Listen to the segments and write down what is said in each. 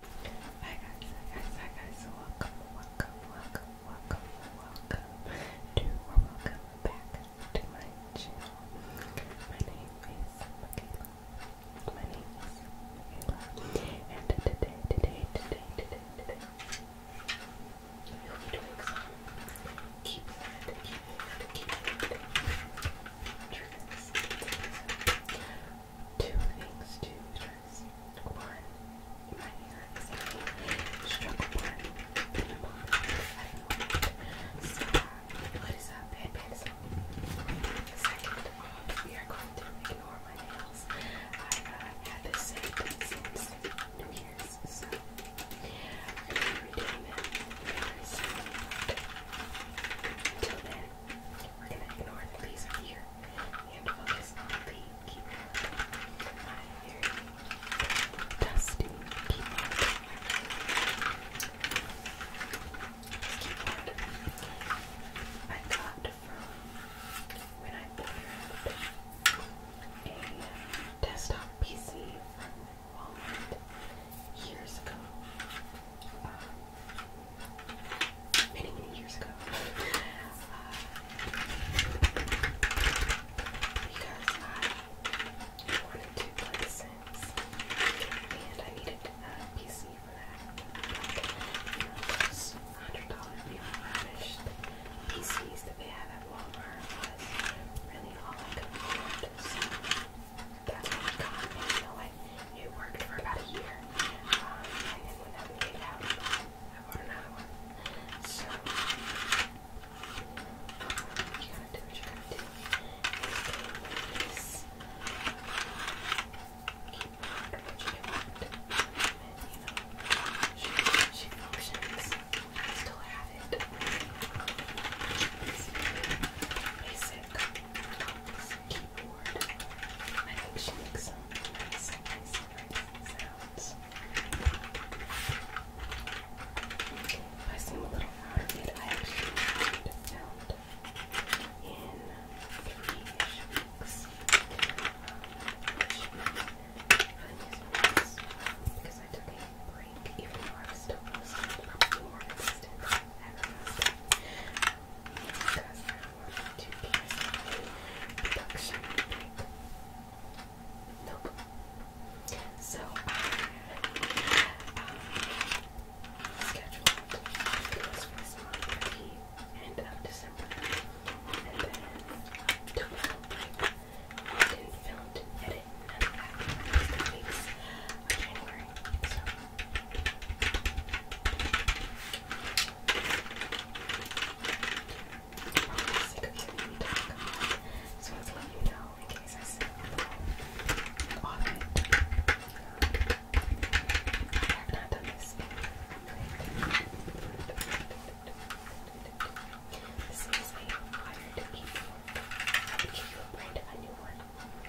Hi guys, guys, guys, welcome, welcome, welcome, welcome, welcome to welcome back to my channel. My name is Michaela. My name is And today, today, today, today, today, we will be doing some keep it, keep it, keep keep two things two address. One, my hair is a the bottom. I don't know what is up? Bad, bad up. we are going to ignore my nails. I uh, had this same since New Year's, so we're going to be doing them we're going to ignore the laser here and focus on the keyboard. My very when I ordered a uh, desktop PC from Walmart years ago many, years ago. Uh, because I wanted to play Sims and I needed a PC for that. those $100 refurbished PCs that they had at Walmart was really all I could afford. that's what I got. You know, it worked for about a year. Um, and then when that one out, I bought another one. So, you gotta do what you gotta do. This keep wondering what you want. And, you know, she, she functions. I still have it. basic her keyboard. I think she makes some nice, nice, nice sounds. Okay, I seem a little out of it. I actually found out in three-ish weeks. Um, which really nice because I took a break even though I was still posting probably more consistent ever because I production break. So scheduled videos for this the end of December, and then took film, edit, none of that. the weeks of January. I'm sick of hearing me talk. So I let you know in case I sit on it. I have not done this. This is a wired keyboard. I would give you a brand a new one.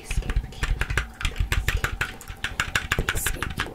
Escape you. Escape you. Escape you.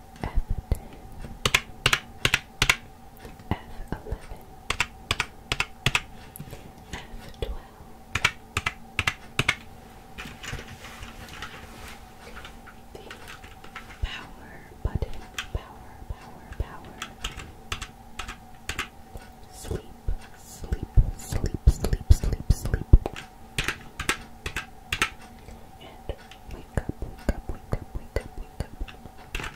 F10, F11, F12. The power button, power, power, power. Sleep, sleep, sleep, sleep, sleep, sleep, and wake up, wake up, wake up, wake up, wake up.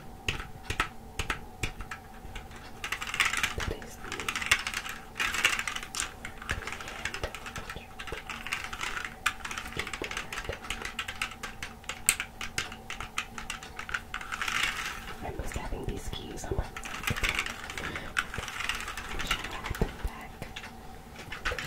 I'm just having these keys on my neck. I wish I back. There's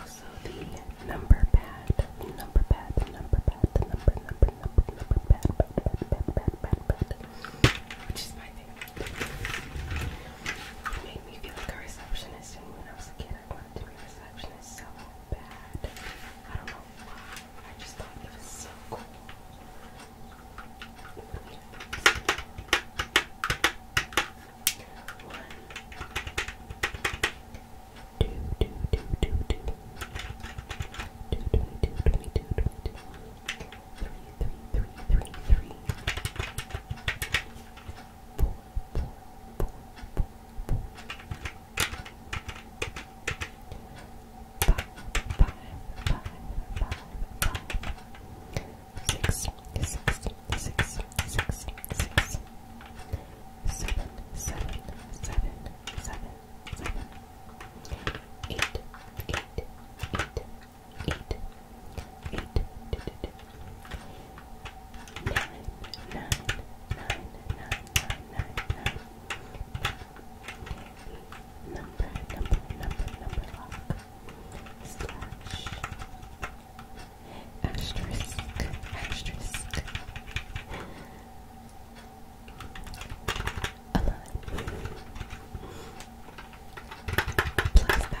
also the number pad, number pad, the number the number, number, number, number pad, which is my favorite. made me feel like a receptionist receptionist, and when I was a kid, I wanted to be a receptionist so bad. I don't know why. I just thought it was so cool. One, two, two, two, eight, eight, eight, eight, eight, eight, two, two, two. Nine, nine, nine, nine, nine, nine, nine. Number, number, number, number lock. Slash. Asterisk, asterisk. Alive. Plus, that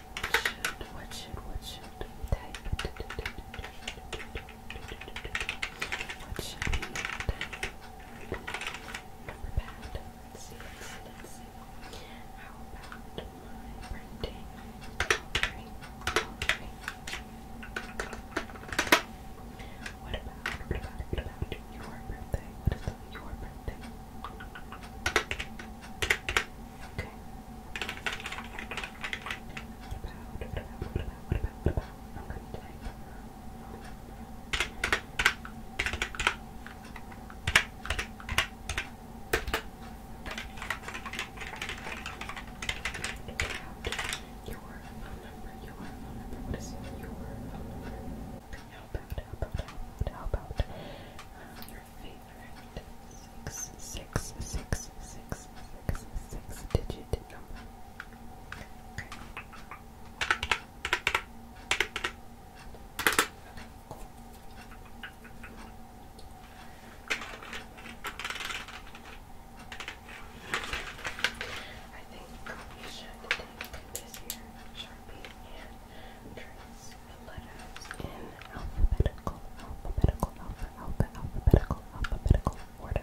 should, what should, what should type? What should we type? Number pad. let let's see, How about my birthday? What about, what about, what about your birthday? Okay. What about, what about, what about, what about, what about? I'm going to take. Your phone number, your about, how about, how about, how about, how about favorite six, six, six, six, six, six digit number. I think we should take this here, Sharpie, and trace the letters in alphabetical, alphabetical, alphabetical, alphabetical order. A,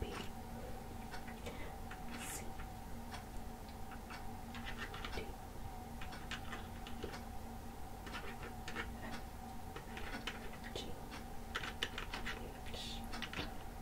B, C, D, E, F, G, H, I, J, K, L, M, N, O, P, Q, R, S, T, U, V, W, X, Y, Z.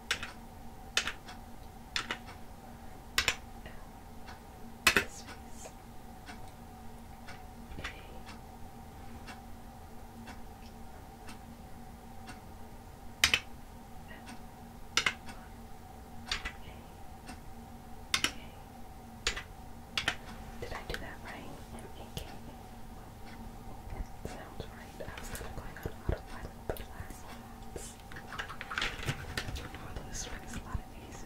space a, Did I do that right? Sounds right. I was going on autopilot for the last months. this one a lot of days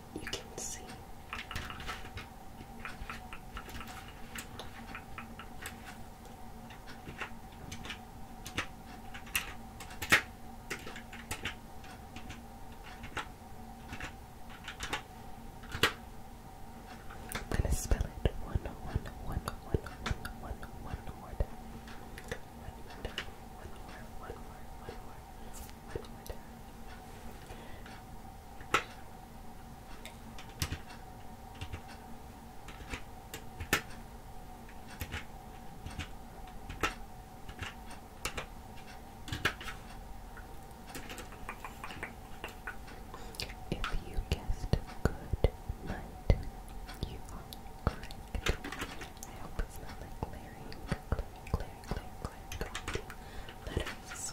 you can see. I'm going to spell it one, one, one, one, one, one, one more time. One if you guessed good night, you are correct. I hope it's not like glaring, glaring, glaring, glaring, glaring letters.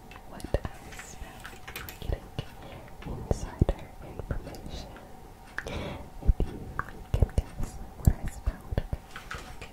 what I smell for getting insider information. If you can guess what I smelled, okay. Okay.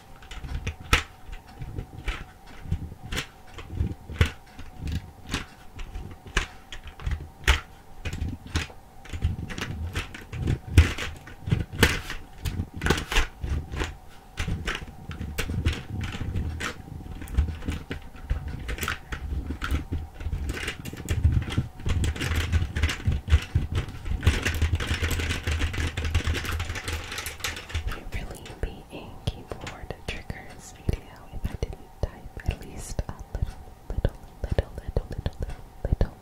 It really be and keyboard triggers video if I didn't type at least a little, little, little, little, little, little, little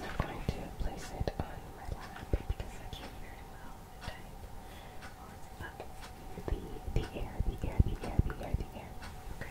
not going to place it on my lap because I can't very well type the, the air, the air, the air, the air, the air. Okay.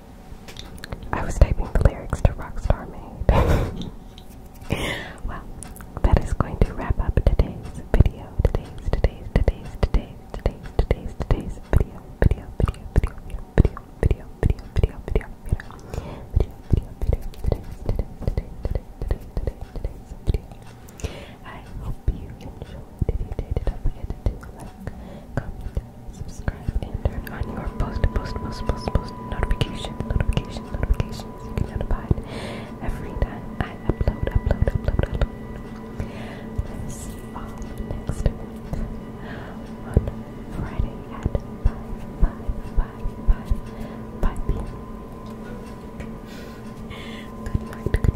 I was typing the lyrics to Rockstar Made. well, that is going to wrap up today's video. Today's, today's, today's, today's, today's, today's, today's video, video, video, video, video, video, video, video, video, video, video, video, video, today's, today's, today's, today's, today's, today's, today's video. I hope you enjoyed. If you subscribe, and turn on your post, post, post, post, post Notification. Notification. notifications. You can notify every time I upload, upload, upload, upload. Uh, next Friday at 5, 5, 5, 5, p.m. good night, good